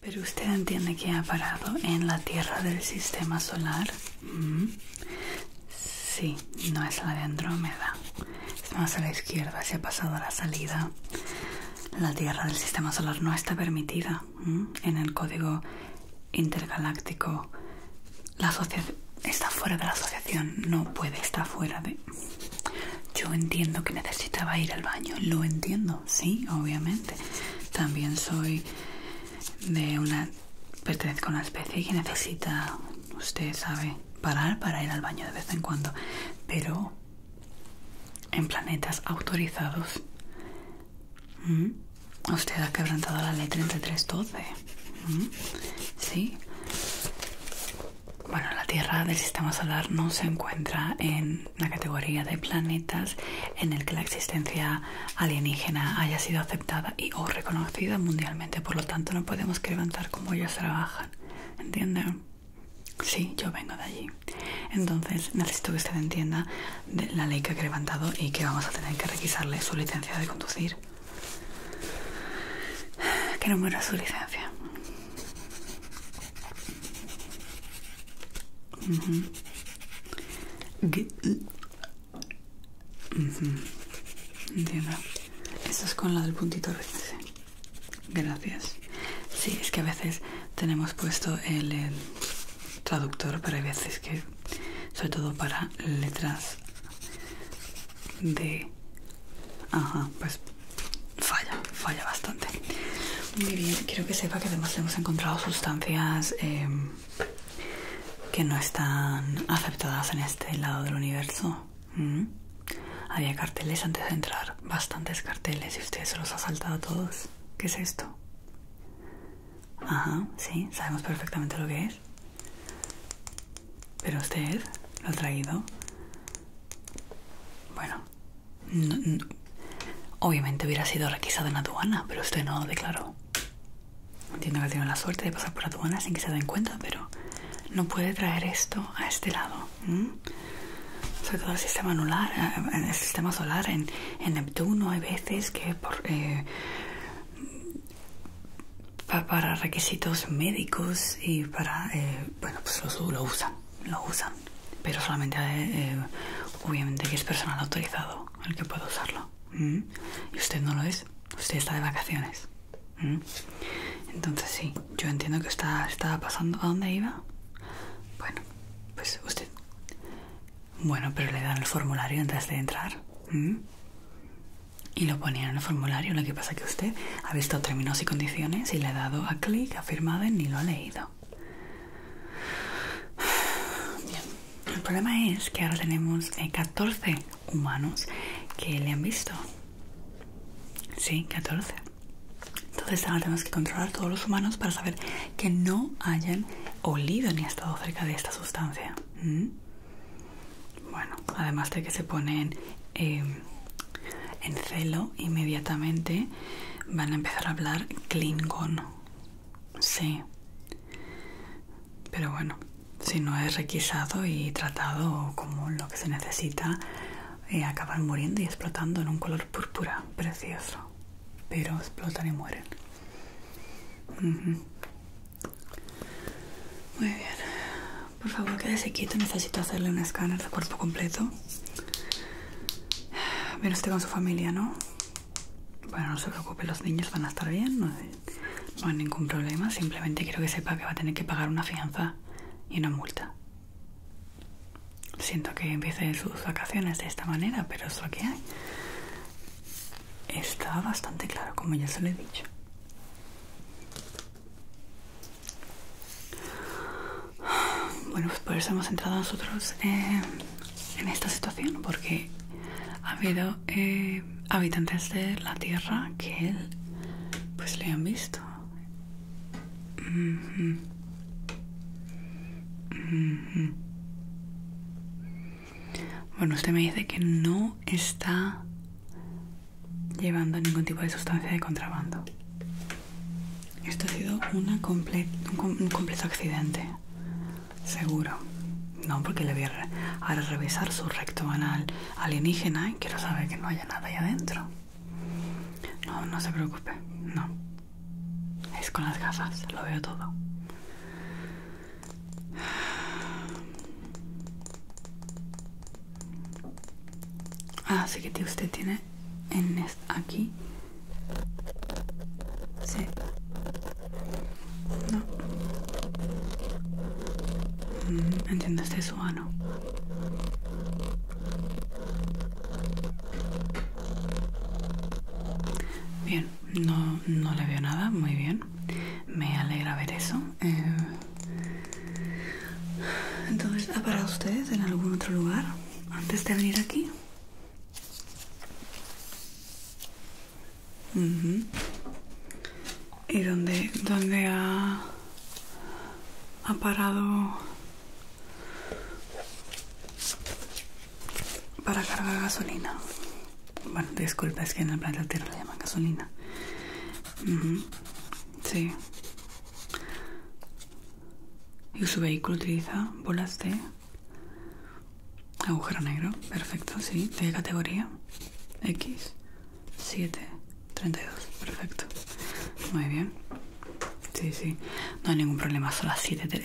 Pero usted entiende que ha parado en la Tierra del Sistema Solar. Mm. Sí, no es la de Andrómeda. Es más a la izquierda, se ha pasado a la salida. La Tierra del Sistema Solar no está permitida mm, en el código intergaláctico. está fuera de la asociación, no puede estar fuera de yo entiendo que necesitaba ir al baño, lo entiendo, sí, obviamente. También soy de una. pertenezco a una especie que necesita, usted sabe, parar para ir al baño de vez en cuando. Pero. en planetas autorizados. Usted ha quebrantado la ley 3312. Sí. Bueno, la Tierra del sistema solar no se encuentra en la categoría de planetas en el que la existencia alienígena haya sido aceptada y o reconocida mundialmente, por lo tanto no podemos levantar como ellos trabajan, ¿entienden? Sí, yo vengo de allí. Entonces necesito que usted entienda la ley que ha levantado y que vamos a tener que requisarle su licencia de conducir. que no es su licencia? Uh, Entiendo. Esto es con la del puntito Gracias. Sí, es que a veces tenemos puesto el traductor, pero hay veces que, sobre todo para letras de... Ajá, pues falla, falla bastante. Muy bien, quiero que sepa que además hemos encontrado sustancias em, que no están aceptadas en este lado del universo. Mm. Había carteles antes de entrar, bastantes carteles, y usted se los ha saltado a todos. ¿Qué es esto? Ajá, sí, sabemos perfectamente lo que es. Pero usted lo ha traído. Bueno, Obviamente hubiera sido requisado en aduana, pero usted no lo declaró. Entiendo que tiene la suerte de pasar por aduana sin que se den cuenta, pero no puede traer esto a este lado. Sobre todo el sistema eh, solar, en, Neptuno hay veces que eh, para requisitos médicos y para, eh, bueno, pues lo usan, lo usan pero solamente eh, obviamente que es personal autorizado el que puede usarlo y usted no lo es usted está de vacaciones entonces sí yo entiendo que está estaba pasando a dónde iba bueno pues usted bueno pero le dan el formulario antes de entrar y lo ponían en el formulario lo que pasa que usted ha visto términos y condiciones y le ha dado a clic ha firmado y ni lo ha Bien. El problema es que ahora tenemos 14 eh, humanos que le han visto. Sí, 14. Entonces ahora tenemos que controlar a todos los humanos para saber que no hayan olido ni estado cerca de esta sustancia. ¿Mm? Bueno, además de que se ponen em, en celo inmediatamente van a empezar a hablar klingon. Sí. Pero bueno, si no es requisado y tratado como lo que se necesita, eh, acaban muriendo y explotando en un color púrpura precioso. Pero explotan y mueren. Muy bien. Por favor, quédese quieto. Necesito hacerle un escáner de cuerpo completo. Pero usted con su familia, ¿no? Bueno, no se preocupe, los niños van a estar bien, no, hay ningún problema. Simplemente quiero que sepa que va a tener que pagar una fianza y una multa. Siento que empiece sus vacaciones de esta manera, pero es lo que hay. Está bastante claro, como ya se lo he dicho. Bueno, pues por eso hemos entrado nosotros eh, en esta situación, porque ha habido eh, habitantes de la Tierra que él, pues, le han visto. Bueno, usted me dice que no está llevando ningún tipo de sustancia de contrabando. Esto ha sido un, completo accidente, seguro. No, porque le voy a, revisar su recto anal alienígena y quiero saber que no haya nada ahí adentro. No, no se preocupe, no. Es con las gafas, lo veo todo. Ah, Así que usted tiene en aquí sí no mm, entiendo este suano ah, bien no, no le veo nada muy bien me alegra ver eso eh, entonces ha parado ustedes en algún otro lugar antes de venir aquí. ¿Y dónde, dónde ha, parado para cargar gasolina? Bueno, disculpa, es que en la planta Tierra le llaman gasolina. Sí. Y su vehículo utiliza bolas de agujero negro. Perfecto, sí. De categoría X732. Perfecto. Muy bien. Sí, sí. No hay ningún problema. Son las,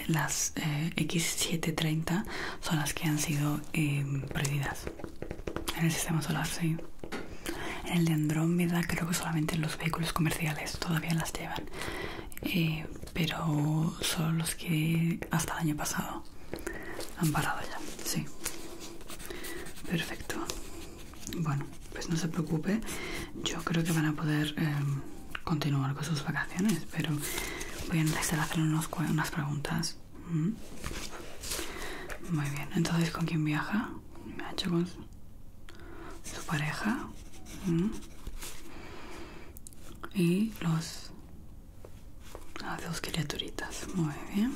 las eh, X730 son las que han sido em, prohibidas perdidas en el sistema solar, sí. En el de Andrómeda creo que solamente los vehículos comerciales todavía las llevan. Eh, pero son los que hasta el año pasado han parado ya, sí. Perfecto. Bueno, pues no se preocupe, yo creo que van a poder em, continuar con sus vacaciones, pero voy a necesitar hacer unas preguntas. ¿Mm? Muy bien, entonces ¿con quién viaja? Me su pareja y los dos criaturitas muy bien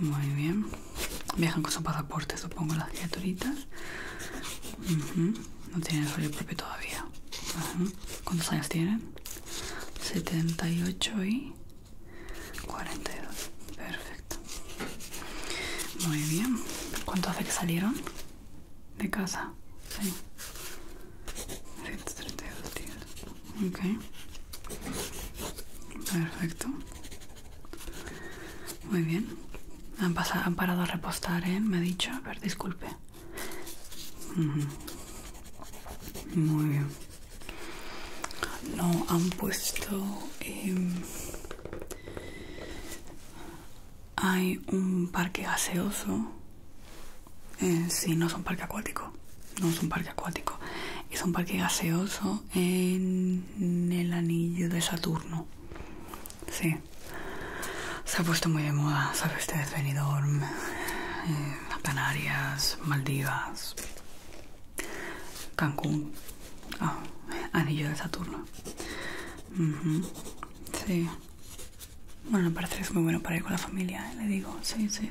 muy bien viajan con su pasaporte supongo las criaturitas no tienen rollo propio todavía ¿cuántos años tienen? 78 y 42 perfecto muy bien cuánto hace que salieron de casa sí 132 días ok perfecto muy bien han, han parado a repostar ¿eh? me ha dicho a ver disculpe muy bien no han puesto em, hay un parque gaseoso. Eh, sí, no es un parque acuático. No es un parque acuático. Es un parque gaseoso en el anillo de Saturno. Sí. Se ha puesto muy de moda, Este es Benidorm, eh, Canarias, Maldivas, Cancún, ah, Anillo de Saturno. Sí. Bueno, parece que es muy bueno para ir con la familia, eh, le digo. Sí, sí.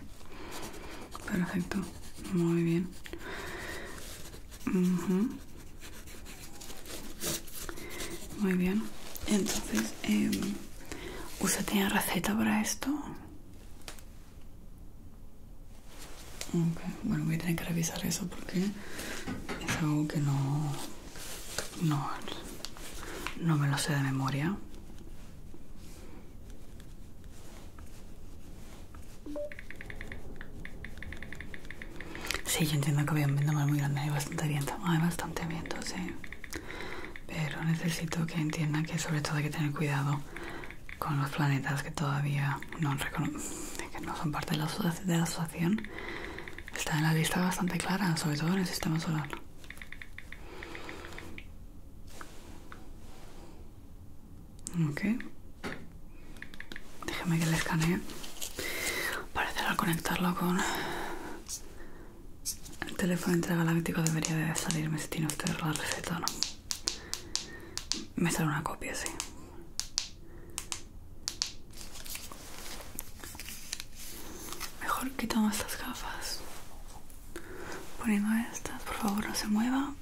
Perfecto. Muy bien. Muy bien. Entonces, em, ¿usted tenía receta para esto? Ok bueno, voy a tener que revisar eso porque es algo que no, no, me lo sé de memoria. Sí, yo entiendo que había un viento muy grande, hay bastante viento, hay bastante viento, sí. Pero necesito que entiendan que sobre todo hay que tener cuidado con los planetas que todavía no, son parte de la, de la asociación está en la lista bastante clara, sobre todo en el sistema solar. Ok, Déjame que le escanee Parece al conectarlo con el teléfono intergaláctico debería de salirme si tiene usted la receta o no. Me sale una copia, sí. Mejor quitamos estas gafas. Poniendo estas, por favor, no se mueva.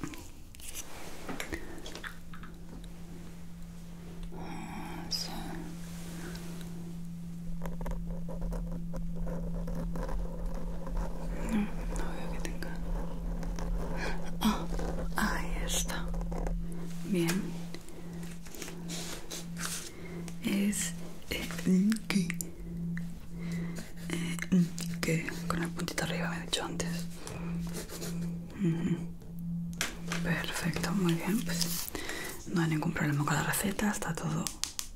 No, no veo que tenga. Ah, ahí está. Bien es el eh, eh, que, con el puntito arriba me he dicho antes. Perfecto, muy bien. Pues no hay ningún problema con la receta, está todo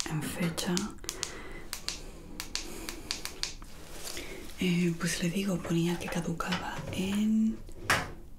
en fecha. Eh, pues le digo, ponía que caducaba en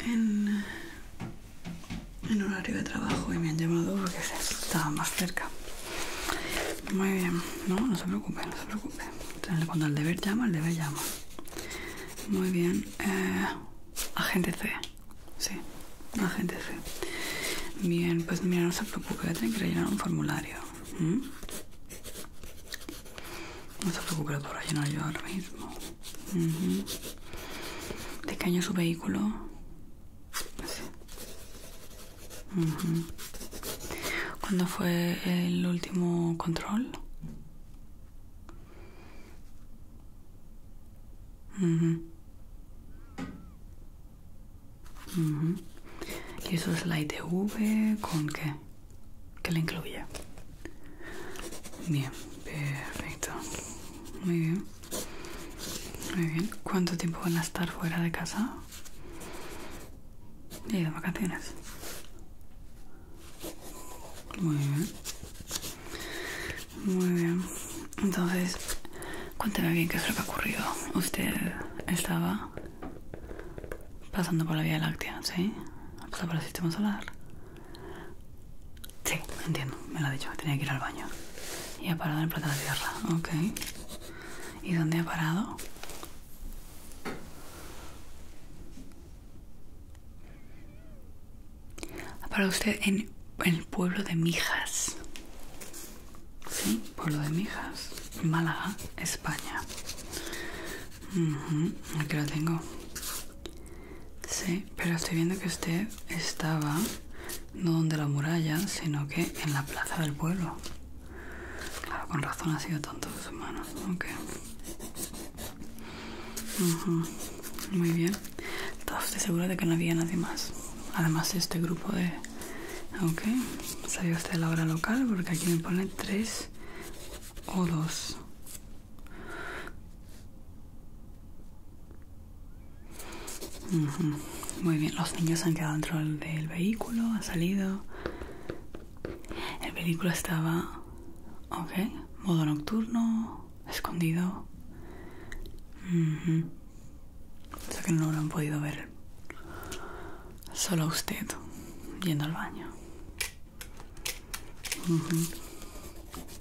en, en horario de trabajo y me han llamado porque estaba más cerca. Muy bien, no, no se preocupe, no se preocupe. Cuando el deber llama, el deber llama. Muy bien, eh, agente C, sí, agente C. Bien, pues mira, no se preocupe, voy que rellenar un formulario. ¿Mm? preocupe por rellenar yo ahora mismo. ¿De qué año su vehículo? Sí. ¿Cuándo fue el último control? ¿Y eso es la ITV con qué? que le incluya. Bien, perfecto. Muy bien. Muy bien. ¿Cuánto tiempo van a estar fuera de casa? Y de vacaciones. Muy bien. Muy bien. Entonces, Cuénteme bien qué es lo que ha ocurrido. Usted estaba Pasando por la Vía Láctea, ¿sí? Pues Pasando por el sistema solar. Sí, entiendo, me lo ha dicho, tenía que ir al baño. Y ha parado en Plata de Tierra, ok. ¿Y dónde ha parado? Ha parado usted en el pueblo de Mijas. Sí, pueblo de Mijas, Málaga, España. Aquí la tengo. Sí, pero estoy viendo que usted estaba no donde la muralla, sino que en la plaza del pueblo. Claro, con razón ha sido tonto de sus Muy bien. ¿Está usted segura de que no había nadie más? Además, este grupo de. ¿Sabía usted la hora local? Porque aquí me pone tres o dos. Muy bien, los niños han quedado dentro del vehículo, han salido. El vehículo estaba, ok, modo nocturno, escondido. O sea que no lo han podido ver. Solo usted yendo al baño.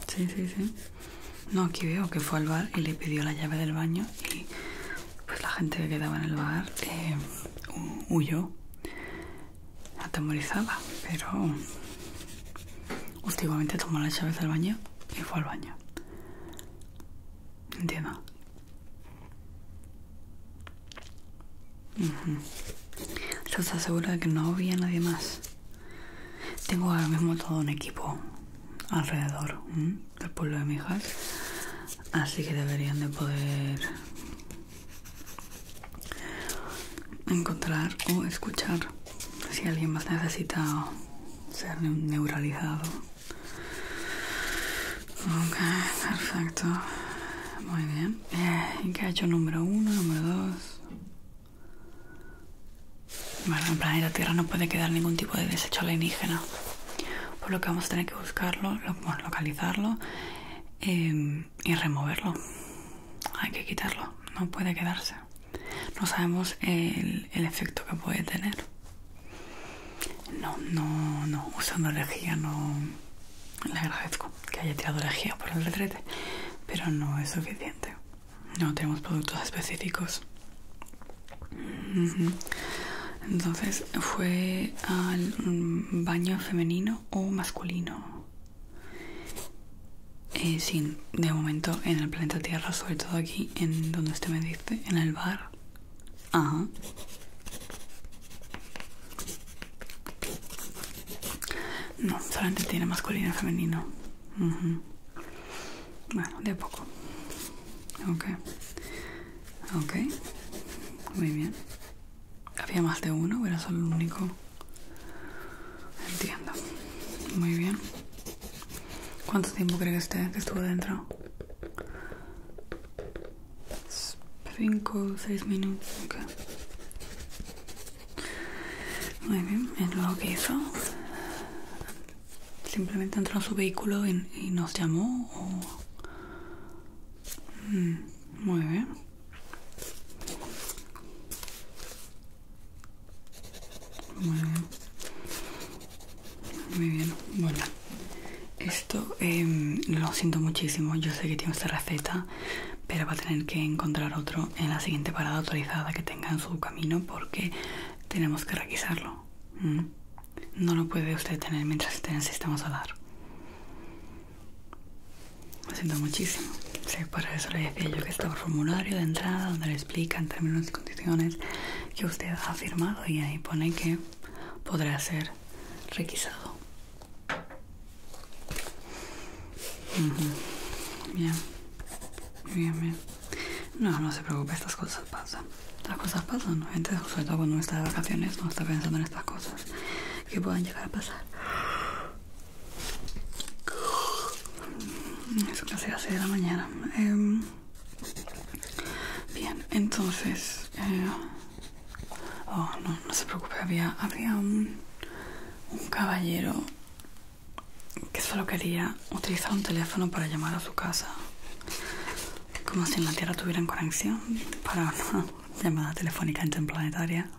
Sí, sí, sí. No, aquí veo que fue al bar y le pidió la llave del baño y pues la gente que quedaba en el bar eh, huyó, atemorizada, pero últimamente tomó las llaves del baño y fue al baño. Entiendo. ¿Se está segura de que no había nadie más. Tengo ahora mismo todo un equipo alrededor del pueblo de Mijas, así que deberían de poder encontrar o escuchar si alguien más necesita ser neuralizado. Ok, perfecto. Muy bien en que ha hecho número uno, número dos. Bueno, en planeta Tierra no puede quedar ningún tipo de desecho alienígena. Por lo que vamos a tener que buscarlo, localizarlo em, y removerlo. Hay que quitarlo, no puede quedarse. No sabemos el, el efecto que puede tener. No, no, no, usando energía no, le agradezco que haya tirado energía por el retrete, pero no es suficiente. No tenemos productos específicos. Entonces, ¿fue al baño femenino o masculino? Eh, Sin de momento en el planeta Tierra, sobre todo aquí en donde usted me dice, en el bar. Ajá. No, solamente tiene masculino y femenino. Bueno, de poco. Ok. Ok. Muy bien. ¿Había más de uno o era solo el único? Entiendo. Muy bien. ¿Cuánto tiempo cree que, usted que estuvo dentro? Cinco, seis minutos. Ok. Muy bien, es lo que hizo. Simplemente entró en su vehículo y, nos llamó. Mm, muy bien. Muy bien. Muy bien. Bueno, esto em, lo siento muchísimo. Yo sé que tiene esta receta pero va a tener que encontrar otro en la siguiente parada autorizada que tenga en su camino porque tenemos que requisarlo. Mm. No lo puede usted tener mientras esté en el sistema solar. Lo siento muchísimo. Sí, para eso le decía yo que está por formulario de entrada donde le explica en términos y condiciones que usted ha firmado y ahí pone que podrá ser requisado. Bien, bien, bien. No, no se preocupe, estas cosas pasan. las cosas pasan, gente, sobre todo cuando uno está de vacaciones, no está pensando en estas cosas que puedan llegar a pasar. Eso casi a las 6 de la mañana. Em, bien, entonces, eh, Oh, no, no se preocupe, había, un, caballero que solo quería utilizar un teléfono para llamar a su casa. Como si en la Tierra tuvieran conexión para una llamada telefónica interplanetaria.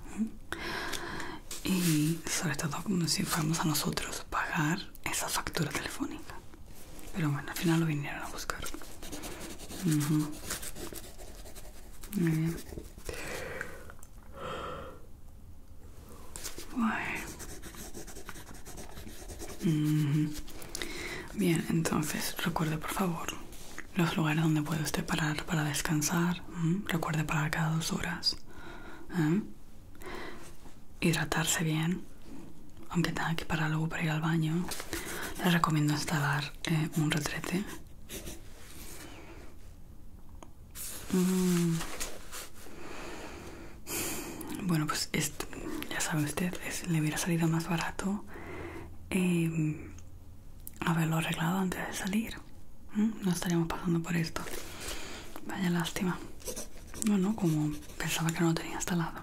Y sobre todo como si fuéramos a nosotros pagar esa factura telefónica. Pero bueno, al final lo vinieron a buscar. Muy bien. Bien, entonces recuerde por favor los lugares donde puede usted parar para descansar. Recuerde parar cada dos horas. Hidratarse bien, aunque tenga que parar luego para ir al baño. Les recomiendo instalar eh, un retrete. Mm. Bueno, pues ya sabe usted, es, le hubiera salido más barato em, haberlo arreglado antes de salir. Mm, no estaríamos pasando por esto. Vaya lástima. Bueno, no, como pensaba que no lo tenía instalado.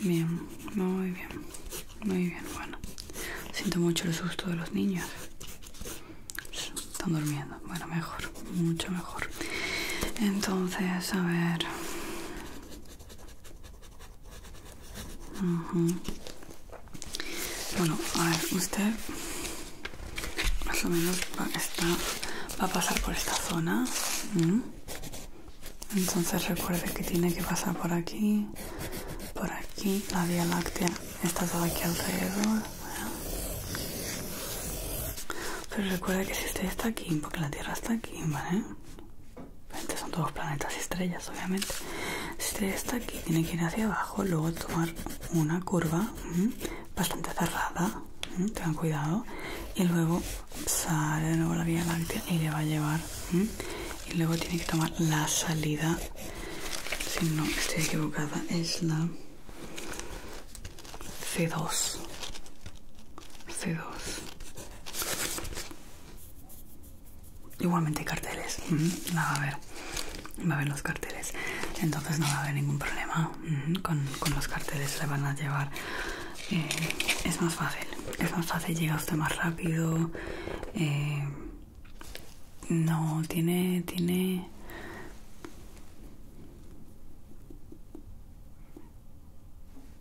Bien, muy bien. Muy bien, bueno. Siento mucho el susto de los niños. Están durmiendo. Bueno, mejor. Mucho mejor. Entonces, a ver. Bueno, a ver, usted más o menos va, a pasar por esta zona. Entonces recuerde que tiene que pasar por aquí, por aquí, la Vía Láctea está todo aquí alrededor Pero recuerda que si usted está aquí, porque la Tierra está aquí, ¿vale? Son todos planetas y estrellas, obviamente. Si usted está aquí, tiene que ir hacia abajo, luego tomar una curva bastante cerrada. Tengan cuidado. Y luego sale de nuevo la Vía Láctea y le va a llevar y luego tiene que tomar la salida si no estoy equivocada es la C2 C2 igualmente hay carteles la va a ver va a ver los carteles entonces no va a haber ningún problema con, los carteles le van a llevar eh, es más fácil es más fácil llega usted más rápido eh, no, tiene, tiene...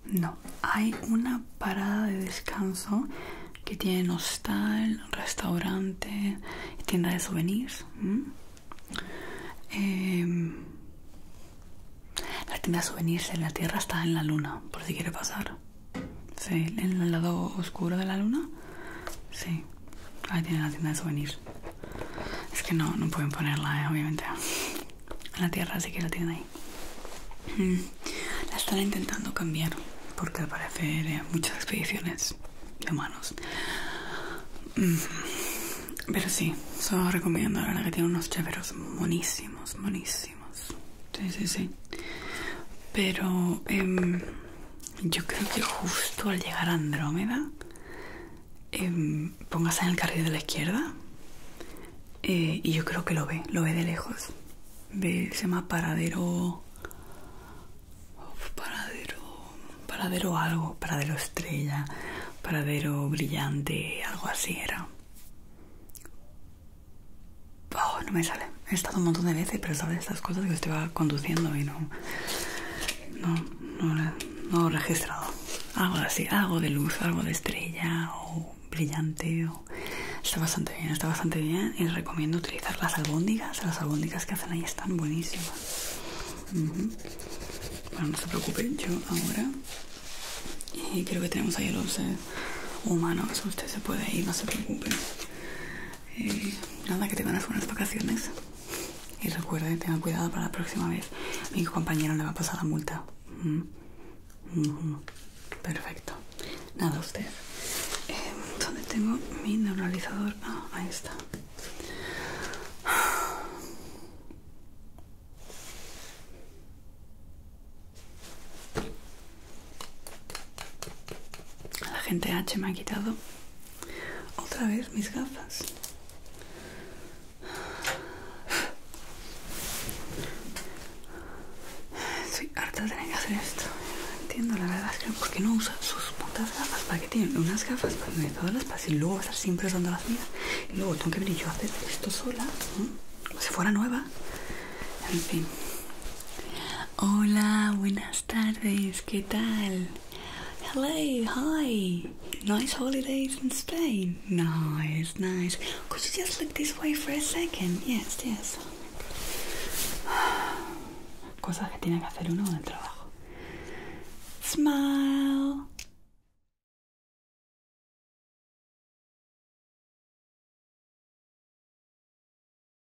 No, hay una parada de descanso que tiene hostal, restaurante, tienda de souvenirs. Em, la tienda de souvenirs en la Tierra está en la Luna, por si quiere pasar. Sí, en el lado oscuro de la luna. Sí, ahí tienen la tienda de souvenirs. Es que no, no pueden ponerla, eh, obviamente. En la tierra sí que la tienen ahí. Mm. La están intentando cambiar porque al parecer eh, muchas expediciones de humanos. Mm. Pero sí, solo recomiendo, la verdad que tiene unos chéveros monísimos, monísimos. Sí, sí, sí. Pero eh, yo creo que justo al llegar a Andrómeda em, póngase en el carril de la izquierda eh, y yo creo que lo ve, lo ve de lejos. se llama paradero. Paradero. Paradero algo, paradero estrella, paradero brillante, algo así era. Oh, no me sale. He estado un montón de veces, pero sabe, estas cosas que va conduciendo y no. No, no, he registrado. Algo así, algo de luz, algo de estrella o brillante. Está bastante bien, está bastante bien. Y recomiendo utilizar las albóndigas. Las albóndigas que hacen ahí están buenísimas. Bueno, no se preocupe, yo ahora. Y creo que tenemos ahí los eh, humanos. Usted se puede ir, no se preocupe. Eh, nada, que te las unas vacaciones. Y recuerden, tengan cuidado para la próxima vez. mi compañero le va a pasar la multa. Mm. Mm-hmm. Perfecto. Nada, usted. donde em, ¿Dónde tengo mi neuralizador? Ah, ahí está. La gente H me ha quitado otra vez mis gafas. Estoy harta de que hacer esto. No entiendo, la verdad es que ¿por qué no usa sus putas gafas? ¿Para qué tienen unas gafas para tener todas las y luego estar siempre usando las mías? Y luego tengo que venir yo a hacer esto sola, como si fuera nueva. En fin, Hola, buenas tardes, ¿qué tal? Hello, hi. Nice holidays in Spain. Nice, nice. Could you just look this way for a second? Yes, yes. Cosas que tiene que hacer uno en el trabajo. Smile.